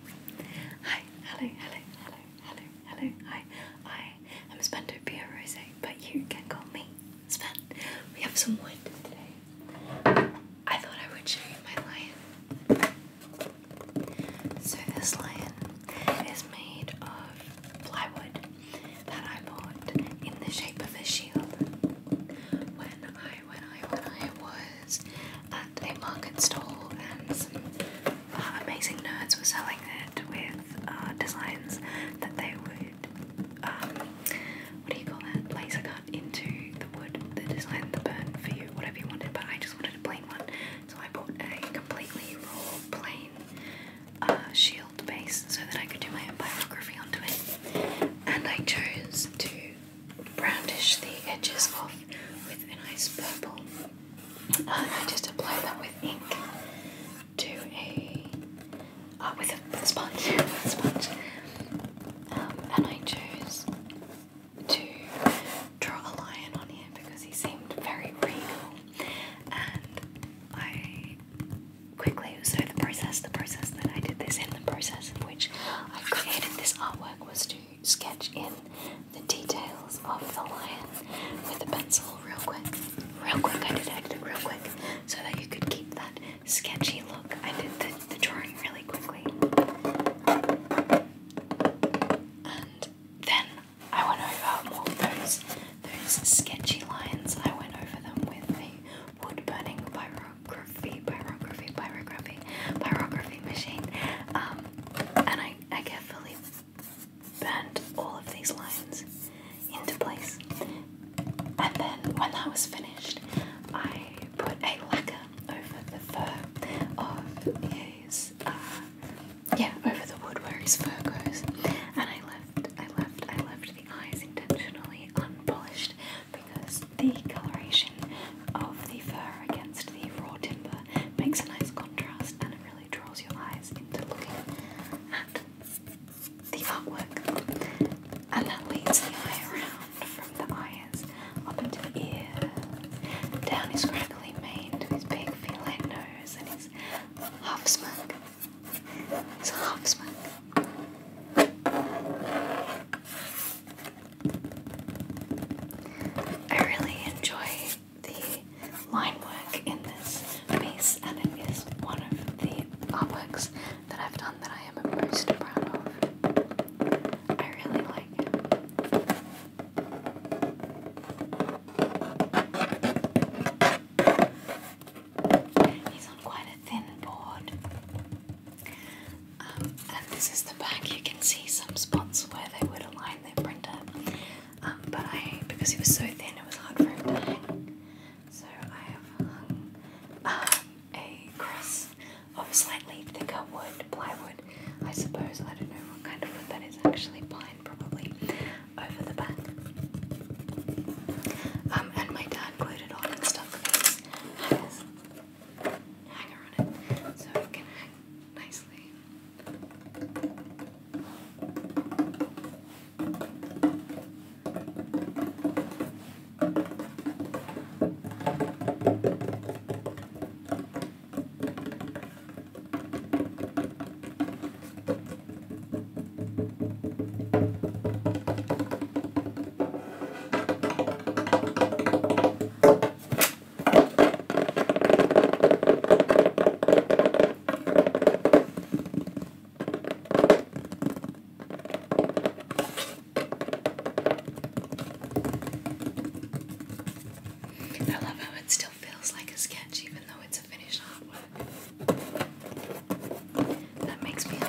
Hi, hello, hello, hello, hello, hello, hi. I am Spendo Pia Rose, but you can call me Spend. We have some wood today. I thought I would show you my lion. So this lion is made of plywood that I bought in the shape of a shield when I when I when I was at a market stall, and some uh, amazing nerds were selling it with uh, designs that they would, um, what do you call that, laser cut into the wood, the design, the burn for you, whatever you wanted, but I just wanted a plain one, so I bought a completely raw, plain uh, shield base so that I could do my own biography onto it, and I chose to brownish the edges off with a nice purple. And uh, I just apply that with ink to a uh, with a sponge, sponge. Um, and I chose to draw a lion on him because he seemed very regal. And I quickly so the process, the process that I did this in, the process in which I created this artwork was to sketch in the details of the lion with a pencil real quick. Real quick, I did it real quick so that you could keep that sketchy look. I did the, drawing really quickly. And then I went over those, those sketchy lines. I went over them with the wood burning by Rob Crow pyrography, pyrography, pyrography, pyrography machine. Um, and I, I carefully bent all of these lines into place. And then when that was finished, I put a lacquer over the fur of his, uh, yeah, over the wood where his fur goes. And I left, I left, I left the eyes intentionally unpolished because the coloration of the fur against the raw timber makes a nice contrast and it really draws your eyes into looking at the artwork. And that leads the eye around from the eyes up into the ear, down his crackly mane to his big feline nose and his half smirk. His half smirk. I really enjoy the line work in this piece, and it is one of the artworks that I've done that I am most proud of. I really like He's on quite a thin board. Um, and this is the back. You can see some spots where they would align their printer, um, but I because it was so thin, it was hard for him to hang. So I have hung um, a cross of slightly thicker wood, plywood, I suppose. I don't know what kind of wood that is. Actually, pine probably over the back. Um, and my dad glued it on and stuck these hangers hanger on it so it can hang nicely. I love how it still feels like a sketch even though it's a finished artwork. That makes me happy.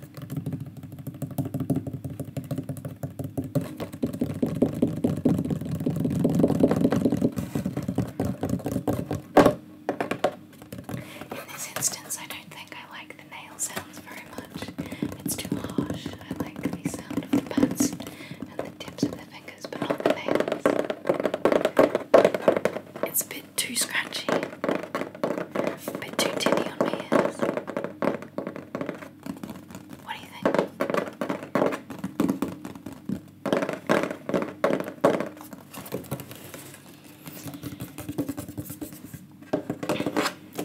In this instance, I don't think I like the nail sounds very much. It's too harsh. I like the sound of the pads and the tips of the fingers, but not the nails. It's a bit too scratchy. A bit too tinny on my What do you think?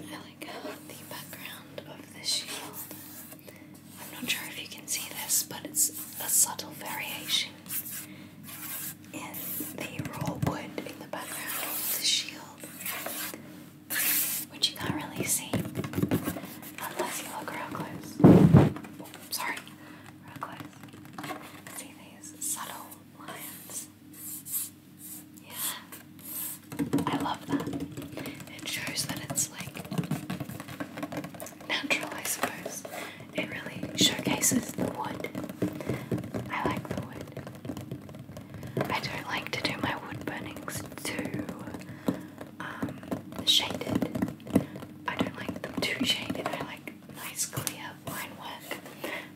I like how the background of this shield. I'm not sure if you can see this, but it's a subtle variation in the raw wood in the background of the shield which you can't really see unless you look real close. sorry, real close. See these subtle lines? Yeah, I love that. It shows that it's like natural, I suppose. It really showcases the wood. I like the wood. I don't like to do my wood burnings too um, shaded. I don't like them too shaded. I like nice clear line work,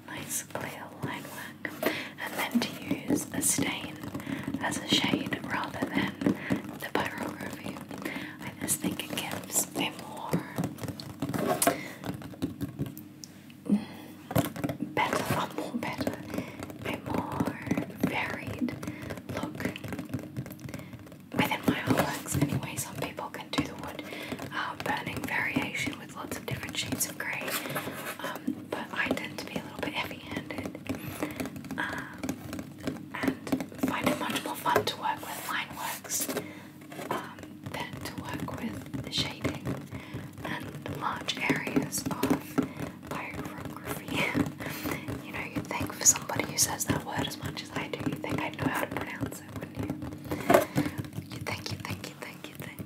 nice clear line work, and then to use a stain as a shade rather than the pyrography. I just think it gives a more better, a more better, a more varied look within my artworks. Anyway, some people can do the wood uh, burning variation with lots of different shades of grey, um, but I tend to be a little bit heavy-handed um, and find it much more fun to work with line works. Um, then to work with the shading and the large areas of pyrography. you know, you think for somebody who says that word as much as I do, you think i know how to pronounce it, you? think, you think, you think, you think.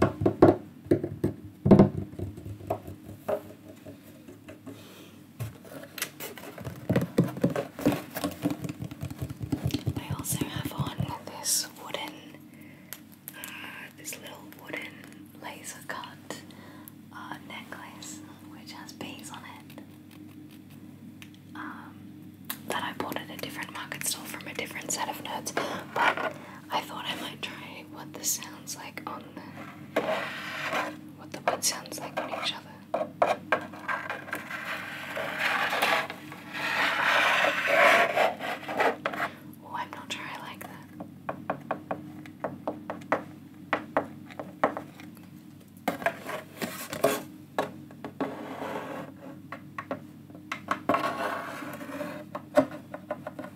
I also have on this wooden, uh, this little wooden laser cut uh, necklace which has bees on it. Um, that I bought at a different market stall from a different set of nerds, but I thought I might try what this sounds like on the what the wood sounds like on each other. Oh, I'm not sure I like that.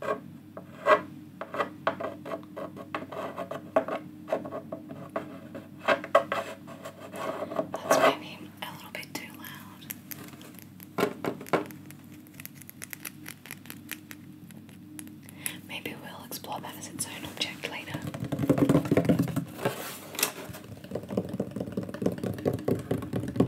That's maybe a little bit too loud. Maybe we'll explore that as its own object later.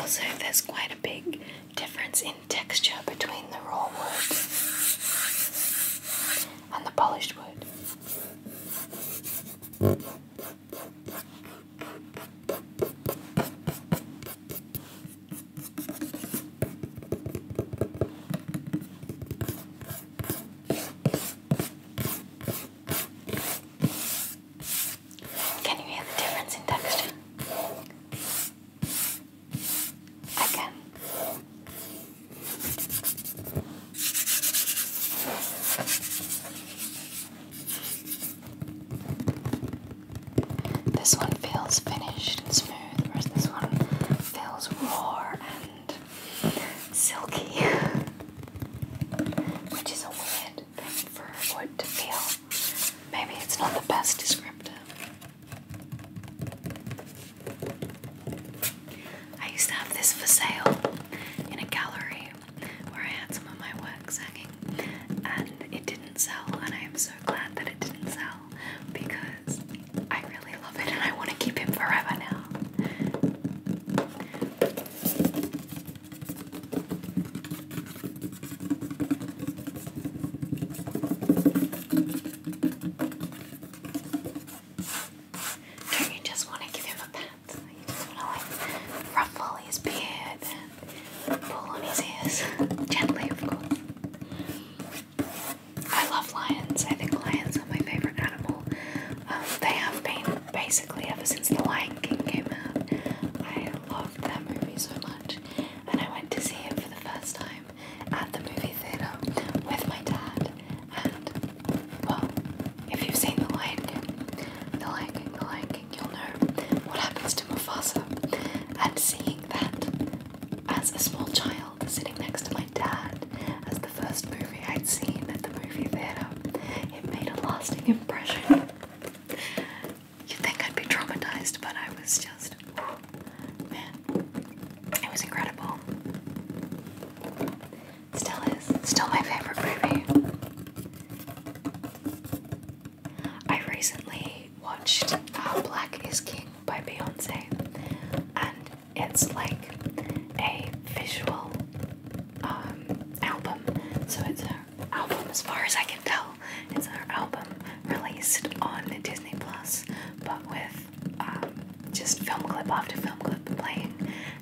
Also, there's quite a big difference in texture between the raw wood and the polished wood. Can you hear the difference in texture? I This one feels finished and smooth, whereas this one feels raw and silky, which is a weird thing for wood to feel. Maybe it's not the best descriptor. I used to have this for sale in a gallery where I had some of my works hanging, and it didn't sell, and I am so glad that it didn't sell because I really love it and I want to keep him forever now. Don't you just want to give him a pat? You just want to like ruffle his beard and pull on his ears. Gently, of course. I love lions. I think lions are my favorite animal. Um, they have been basically ever since The Lion King came out. I loved that movie so much, and I went to see it for the first time at the movie theater with my dad. And well, if you've seen The Lion King, The Lion King, The Lion King, you'll know what happens to Mufasa. And seeing that as a small child sitting next to my dad as the first movie I'd seen at the movie theatre. It made a lasting impression. You'd think I'd be traumatized, but I was just. Man, it was incredible. Still is. Still my favorite movie. I recently watched uh, Black is King by Beyonce, and it's like a visual um, album. So it's an album, as far as I can tell, it's her album released on Disney Plus, but with um, just film clip after film clip playing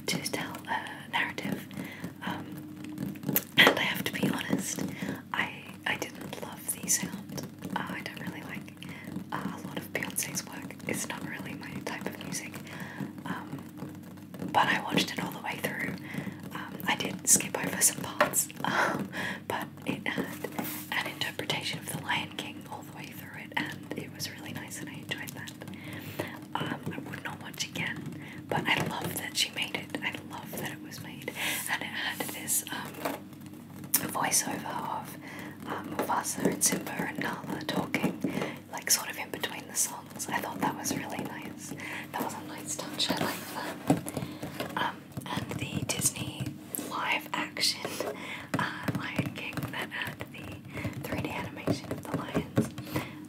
to tell a narrative. Um, and I have to be honest, I I didn't love the sound Oh, I don't really like uh, a lot of Beyonce's work. It's not really my type of music. Um, but I watched it all the way through. Um, I did skip over some parts, um, but it had an interpretation of The Lion King all the way through it, and it was really nice, and I enjoyed that. I would not watch again, but I love that she made it. I love that it was made, and it had this voiceover of um, Mufasa and Simba and Nala talking, like sort of in between the songs. I thought that was really nice. That was a nice touch. I like that. Um, and the Disney live action uh, Lion King that had the 3D animation of the lions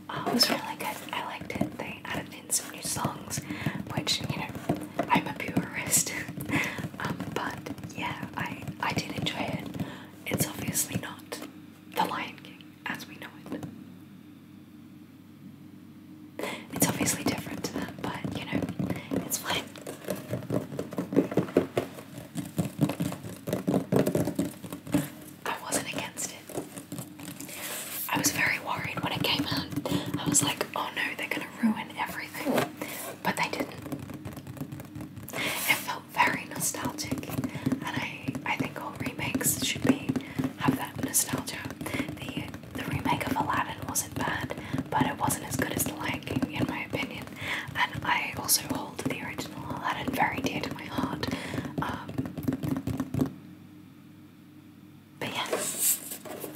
uh, was really good. I liked it. They added in some new songs, which you know I'm a purist. Um, but yeah, I I did enjoy it. It's obviously not The Lion King as we know it. It's obviously different to that, but you know, it's fine. I wasn't against it. I was very worried when it came out. I was like, oh no, they're gonna ruin everything, but they didn't. It felt very nostalgic, and I I think all remakes should be have that nostalgia. The the remake of Aladdin wasn't bad, but it wasn't as good as the Lion King in my opinion. And I also hold the original Aladdin very dear to my heart. Um, but yeah,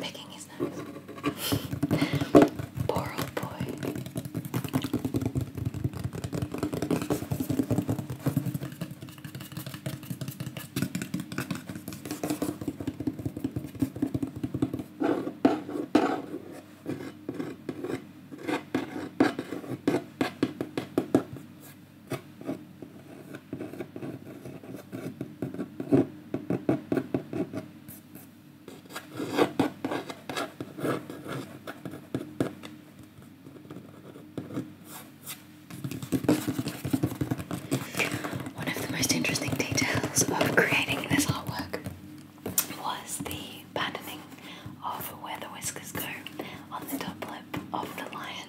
Picking is nice. Poor old boy. One of the most interesting details of creating this artwork was the patterning of where the whiskers go on the top lip of the lion.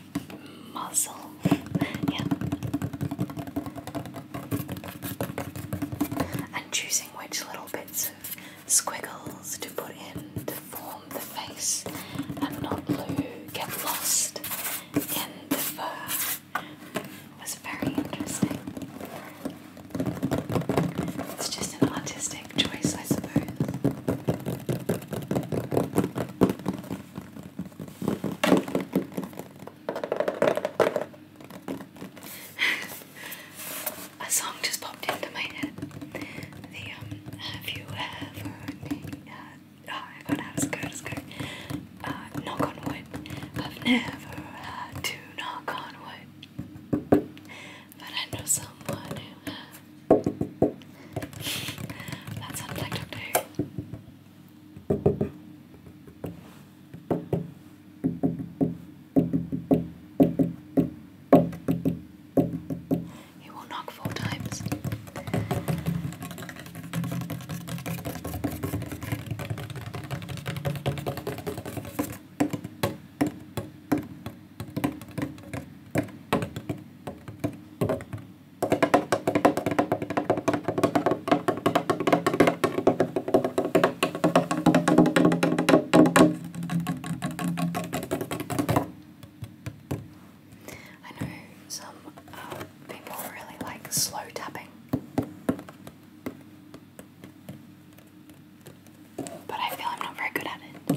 Muzzle, yeah. And choosing which little bits of squiggles to put in to form the face and not get lost in the fur was very interesting. It's just an artistic choice, I suppose. A song just popped into my head. Um, have you ever? Uh, oh my god, that was good. That good. knock on wood. I've never had to knock on wood, but I know someone who has. That's on TikTok too. He will knock four times. I know some uh, people really like slow tapping, but I feel I'm not very good at it.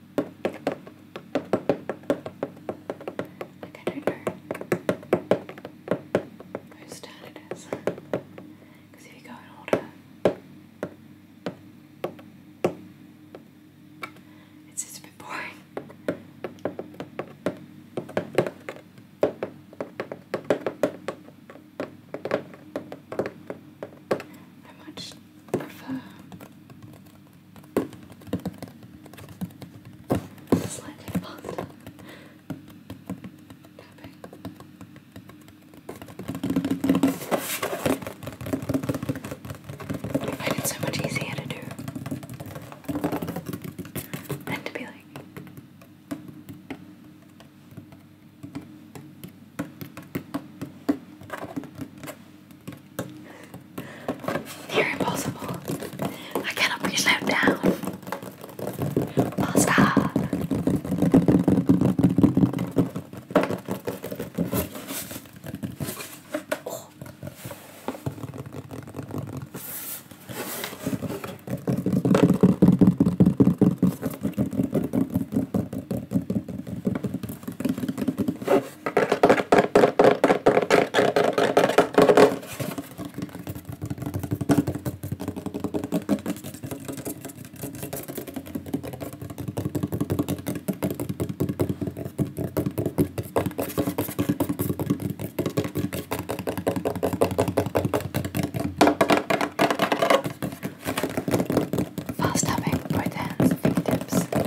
I don't know whose turn it is. Because if you go in order, it's just a bit boring. I much prefer it's faster. Tapping. I so much easier to do than to be like. They're impossible. I cannot be slowed down. i stop. While stopping, boy hands, fingertips,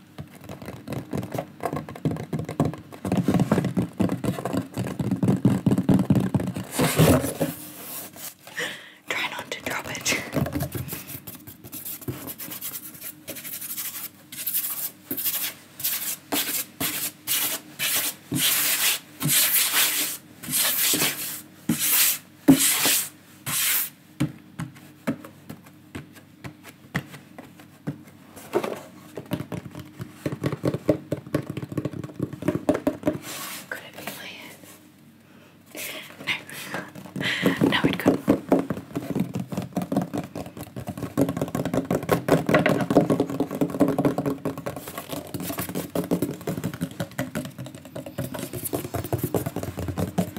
Try not to drop it. Could it be No. no, it couldn't.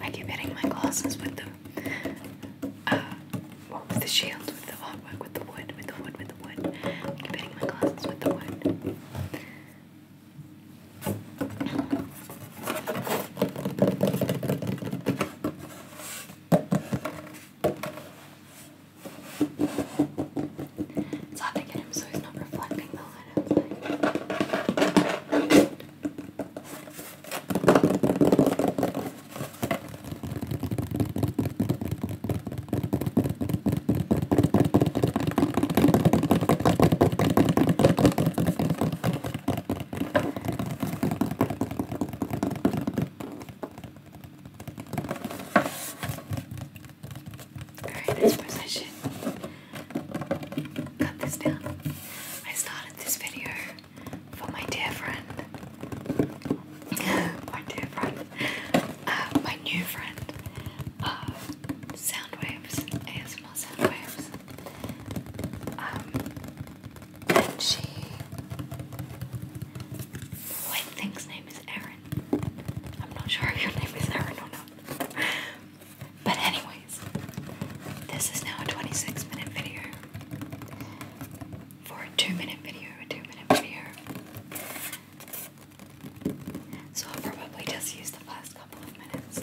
I keep hitting my glasses with the with uh, the shield, with the artwork, with the wood, with the wood, with the wood. keep hitting my glasses with the wood. It's hard to get him so he's not reflecting the light outside. Alright, I suppose I should cut this down. I started this video for my dear friend. my dear friend. Uh, my new friend. Uh, Soundwaves. ASMR Soundwaves. Um, and she... I think name is Erin. I'm not sure if your name is Erin or not. But anyways, this is now a 26 minute video. For a 2 minute video, a 2 minute video. So I'll probably just use the last couple of minutes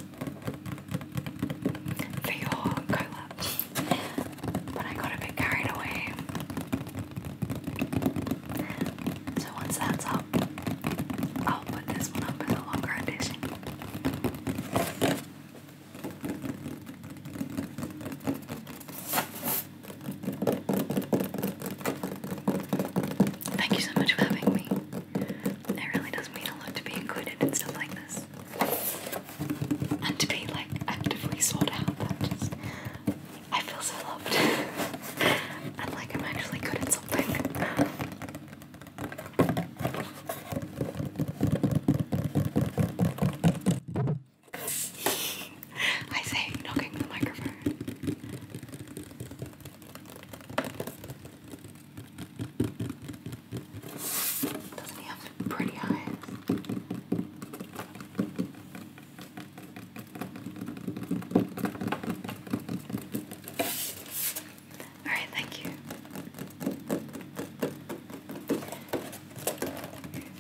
for your collab. But I got a bit carried away. So once that's up, I'll put this one up as a longer edition. Thank you so much for having me. It really does mean a lot to be included in stuff like this. And to be like actively sought out. I just I feel so loved. and like I'm actually good at something. I am knocking the microphone. Doesn't he have pretty eyes? All right, thank you.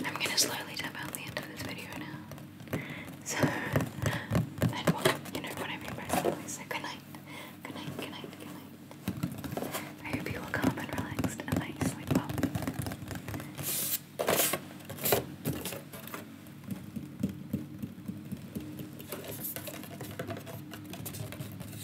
I'm gonna slowly tap out the end of this video now. So, you know what I mean by slowly. So good night, good night, good night, good night. I hope you all calm and relaxed, and that you sleep well.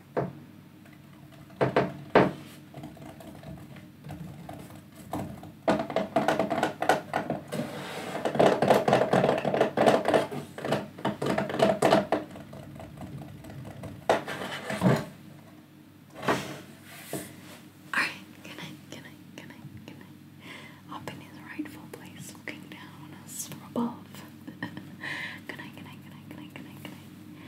Alright, good night, good night, good night, good night. Up in his rightful place, looking down from above. good night, good night, good night, good night, good night.